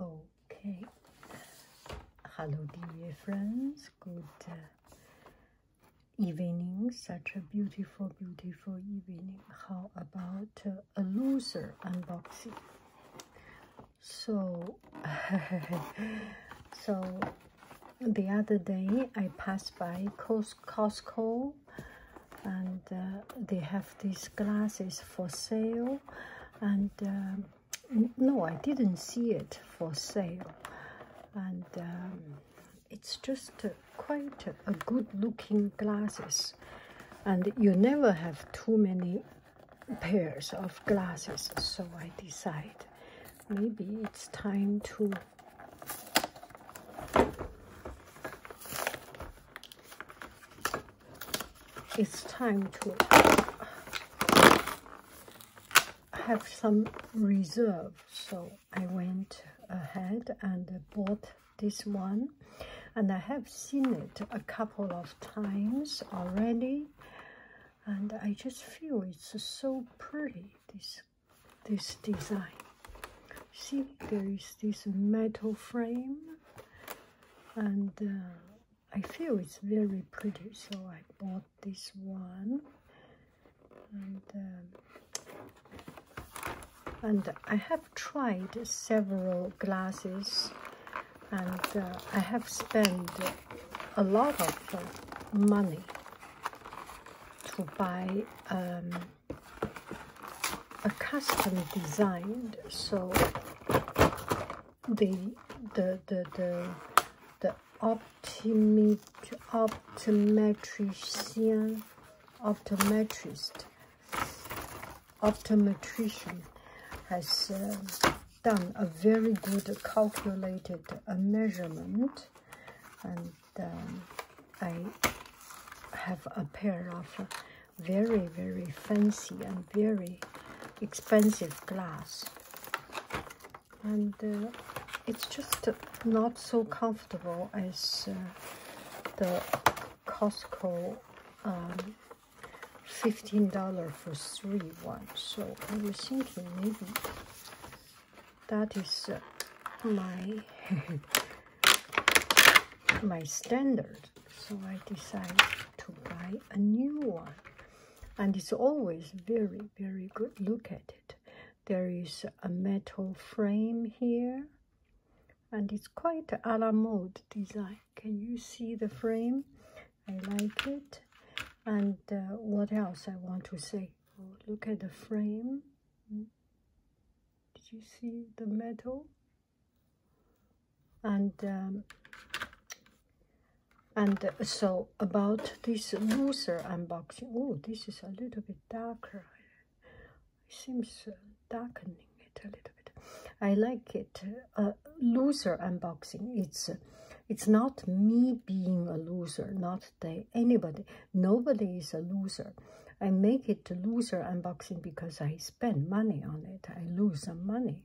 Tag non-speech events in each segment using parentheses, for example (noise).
Okay. Hello, dear friends. Good uh, evening. Such a beautiful, beautiful evening. How about uh, a loser unboxing? So, (laughs) so the other day I passed by Costco, and uh, they have these glasses for sale, and. Um, no i didn't see it for sale and um, it's just quite a good looking glasses and you never have too many pairs of glasses so i decide maybe it's time to it's time to have some reserve so I went ahead and bought this one and I have seen it a couple of times already and I just feel it's so pretty this this design see there is this metal frame and uh, I feel it's very pretty, so I bought this one. And, um, and I have tried several glasses, and uh, I have spent a lot of uh, money to buy um, a custom designed so the the the the the optimi optometrician optometrist optometrician has uh, done a very good calculated uh, measurement and um, I have a pair of very very fancy and very expensive glass and uh, it's just not so comfortable as uh, the Costco um, $15 for three one so I was thinking maybe that is uh, my (laughs) my standard so I decided to buy a new one and it's always very very good look at it there is a metal frame here and it's quite a la mode design can you see the frame I like it and uh, what else I want to say oh, look at the frame hmm? did you see the metal and um, and so about this loser unboxing oh this is a little bit darker it seems uh, darkening it a little bit i like it uh, uh loser unboxing it's it's not me being a loser not they anybody nobody is a loser i make it loser unboxing because i spend money on it i lose some money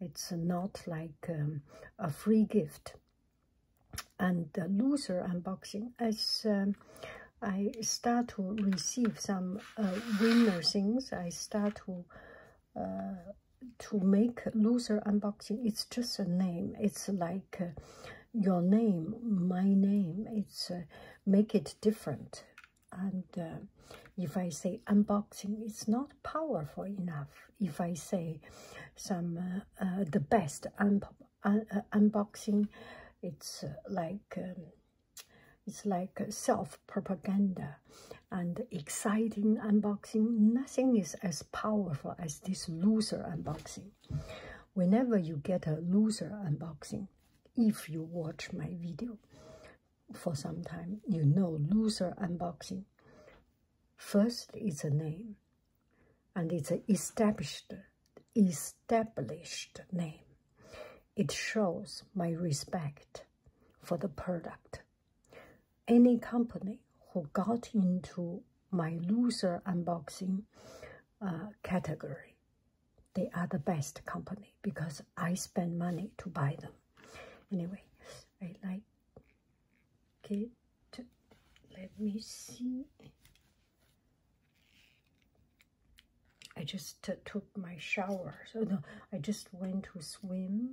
it's not like um, a free gift. And the loser unboxing, as um, I start to receive some uh, winner things, I start to uh, to make loser unboxing. It's just a name. It's like uh, your name, my name. It's make it different and uh, if I say unboxing, it's not powerful enough. If I say some uh, uh, the best un un unboxing, it's like um, it's like self propaganda, and exciting unboxing. Nothing is as powerful as this loser unboxing. Whenever you get a loser unboxing, if you watch my video, for some time, you know loser unboxing. First, it's a name, and it's an established, established name. It shows my respect for the product. Any company who got into my loser unboxing uh, category, they are the best company because I spend money to buy them anyway i like it let me see i just took my shower so no i just went to swim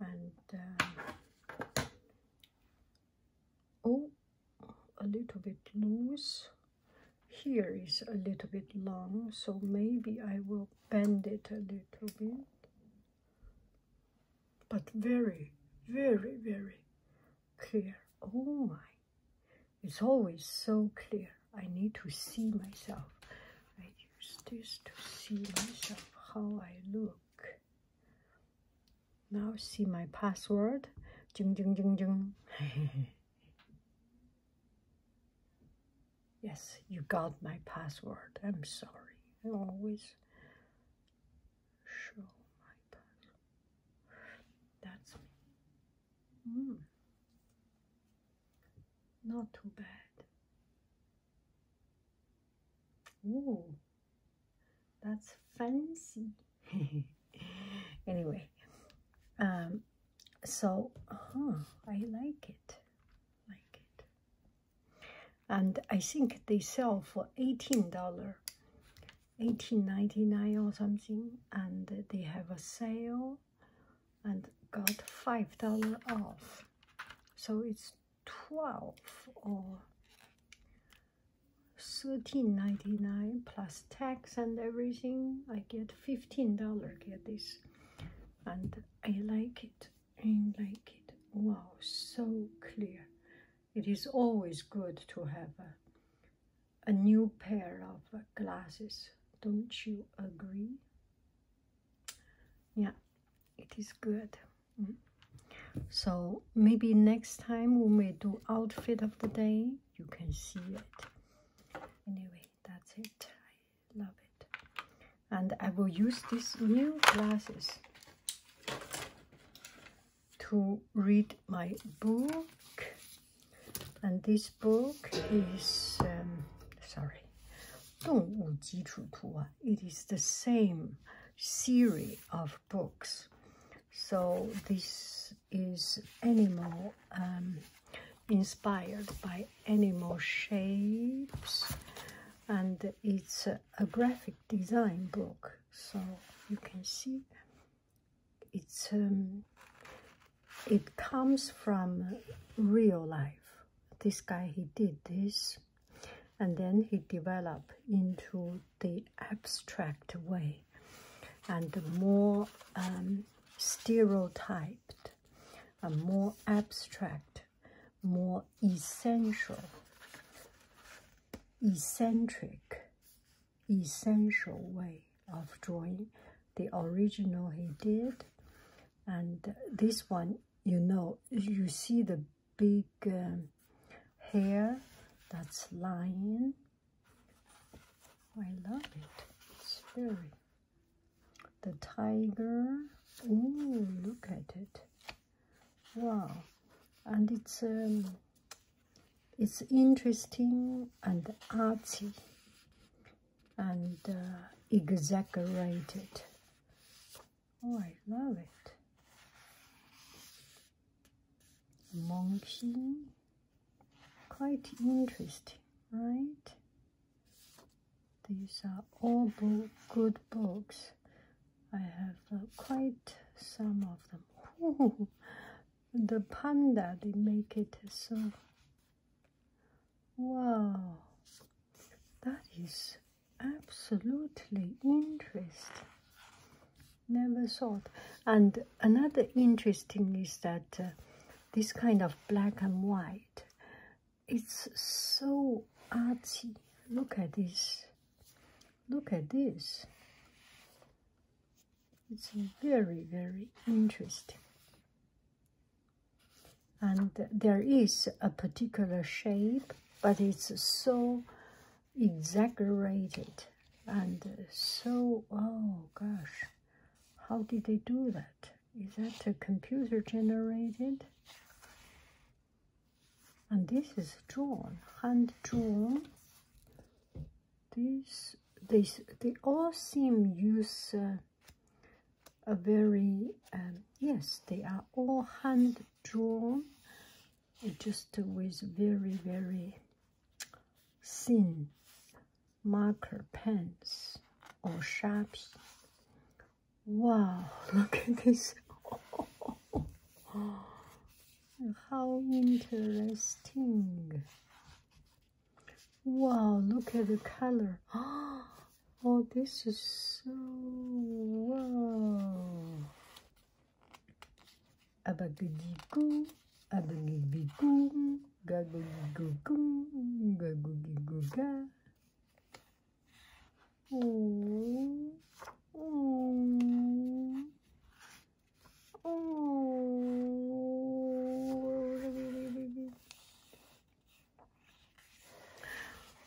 and uh, oh a little bit loose here is a little bit long so maybe i will bend it a little bit, but very, very, very clear. Oh my, it's always so clear. I need to see myself. I use this to see myself, how I look. Now see my password. Jung, jung, jung, jung. (laughs) Yes, you got my password. I'm sorry. I always show my password. That's me. Hmm. Not too bad. Ooh, that's fancy. (laughs) anyway, um, so -huh, I like it like it. And I think they sell for $18, dollars 18 or something. And they have a sale and got $5 off. So it's 12 or 13.99 plus tax and everything i get 15 dollar get this and i like it and like it. Wow, so clear. It is always good to have a, new pair of glasses, don't you agree? Yeah, it is good. Mm. So maybe next time when we do outfit of the day, you can see it. Anyway, that's it I love it and I will use these new glasses to read my book and this book is um, sorry 动物基础图啊, it is the same series of books so this is animal um, inspired by animal shapes and it's a, graphic design book so you can see it's um, it comes from real life this guy he did this and then he developed into the abstract way and more um, stereotyped a more abstract more essential, eccentric, essential way of drawing. The original he did, and this one, you know, you see the big um, hair that's lying. I love it. It's very the tiger. Oh, look at it! Wow, and it's um, it's interesting and artsy and uh, exaggerated. Oh, I love it. Monkey, quite interesting, right? These are all good books. I have uh, quite some of them. the panda, they make it so... Wow, that is absolutely interesting. Never thought. And another interesting is that uh, this kind of black and white, it's so arty. Look at this. Look at this. It's very, very interesting. And there is a particular shape, but it's so exaggerated and so, oh gosh, how did they do that? Is that a computer generated? And this is drawn, hand drawn. This, these, they all seem use uh, a very, um, yes, they are all hand drawn, just with very, very thin marker pens or sharpies Wow, look at this. How interesting. Wow, look at the color. (gasps) Oh, this is so wow. Abagadigoo, abagabigoo, gagagagoo, gagagagoo, Oh. Oh. Oh.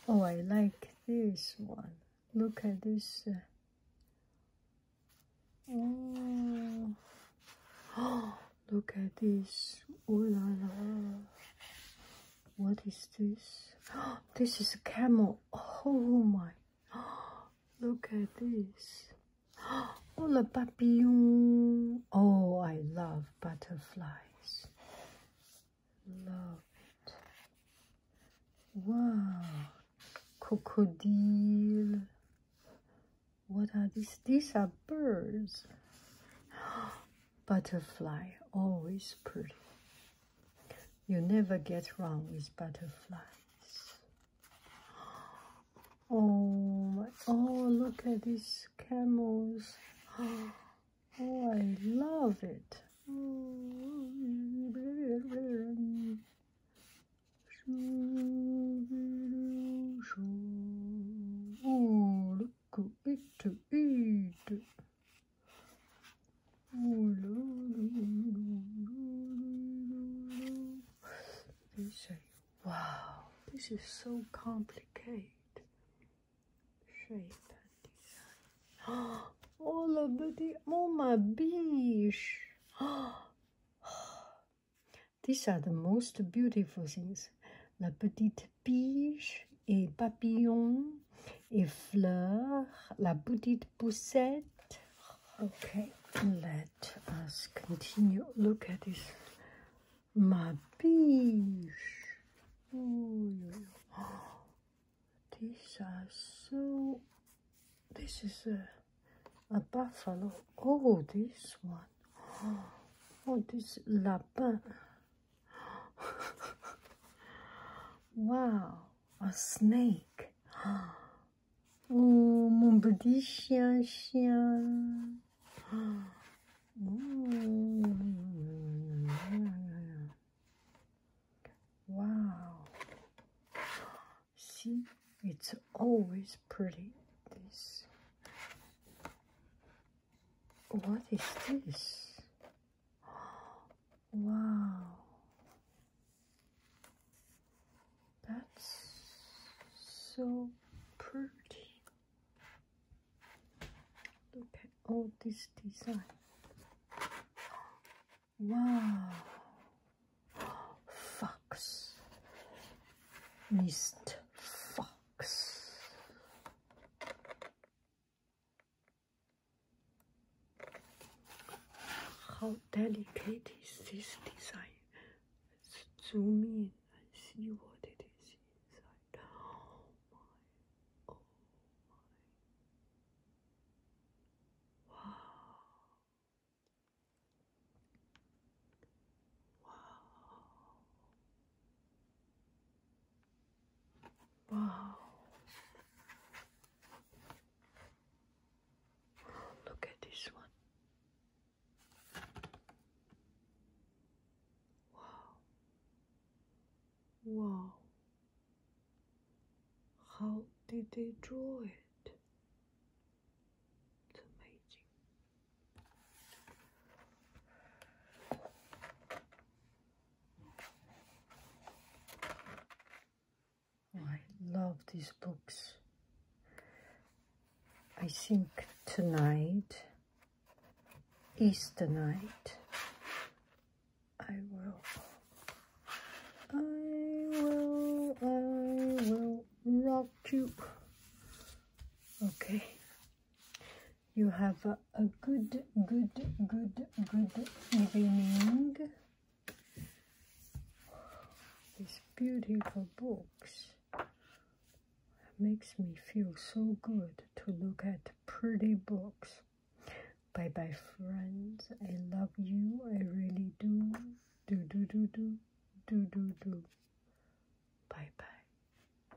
Oh, I like this one. Look at this. Oh. (gasps) look at this. Oh what is this? (gasps) this is a camel. Oh my. (gasps) Look at this. (gasps) Oh, le papillon. Oh, I love butterflies. Love it. Wow. Crocodile. What are these? These are birds. Butterfly, always pretty. You never get wrong with butterflies. (gasps) Oh, oh, look at these camels. (gasps) Oh, I love it. (laughs) go eat to eat. Ooh, la, la, la, they say, wow, this is so complicated. Shape and design. Oh, (gasps) all of the, oh my bees. (gasps) These are the most beautiful things. La petite Pige et papillon et fleur la petite poussette. Okay, let us continue. Look at this. Ma biche. Oh, (gasps) these are so. This is a, a buffalo. Oh, this one. (gasps) Oh, this lapin. (gasps) wow, a snake. (gasps) Oh, mon petit chien, (gasps) Wow. See, it's always pretty. This what is this? Wow. That's so pretty. Look at all this design. Wow. Fox. Mist. Fox. How delicate is this design? Let's zoom and see what it is inside. Oh my, oh Wow. Wow. Wow. Look at this one. Wow. Wow. How did they draw it? It's amazing. I love these books. I think tonight, Easter night, I will, I will, I will rock you. Okay you have a, good, good, good, good evening. These beautiful books makes me feel so good to look at pretty books. Bye bye friends. I love you. I really do. Do do do do do do do. Bye bye.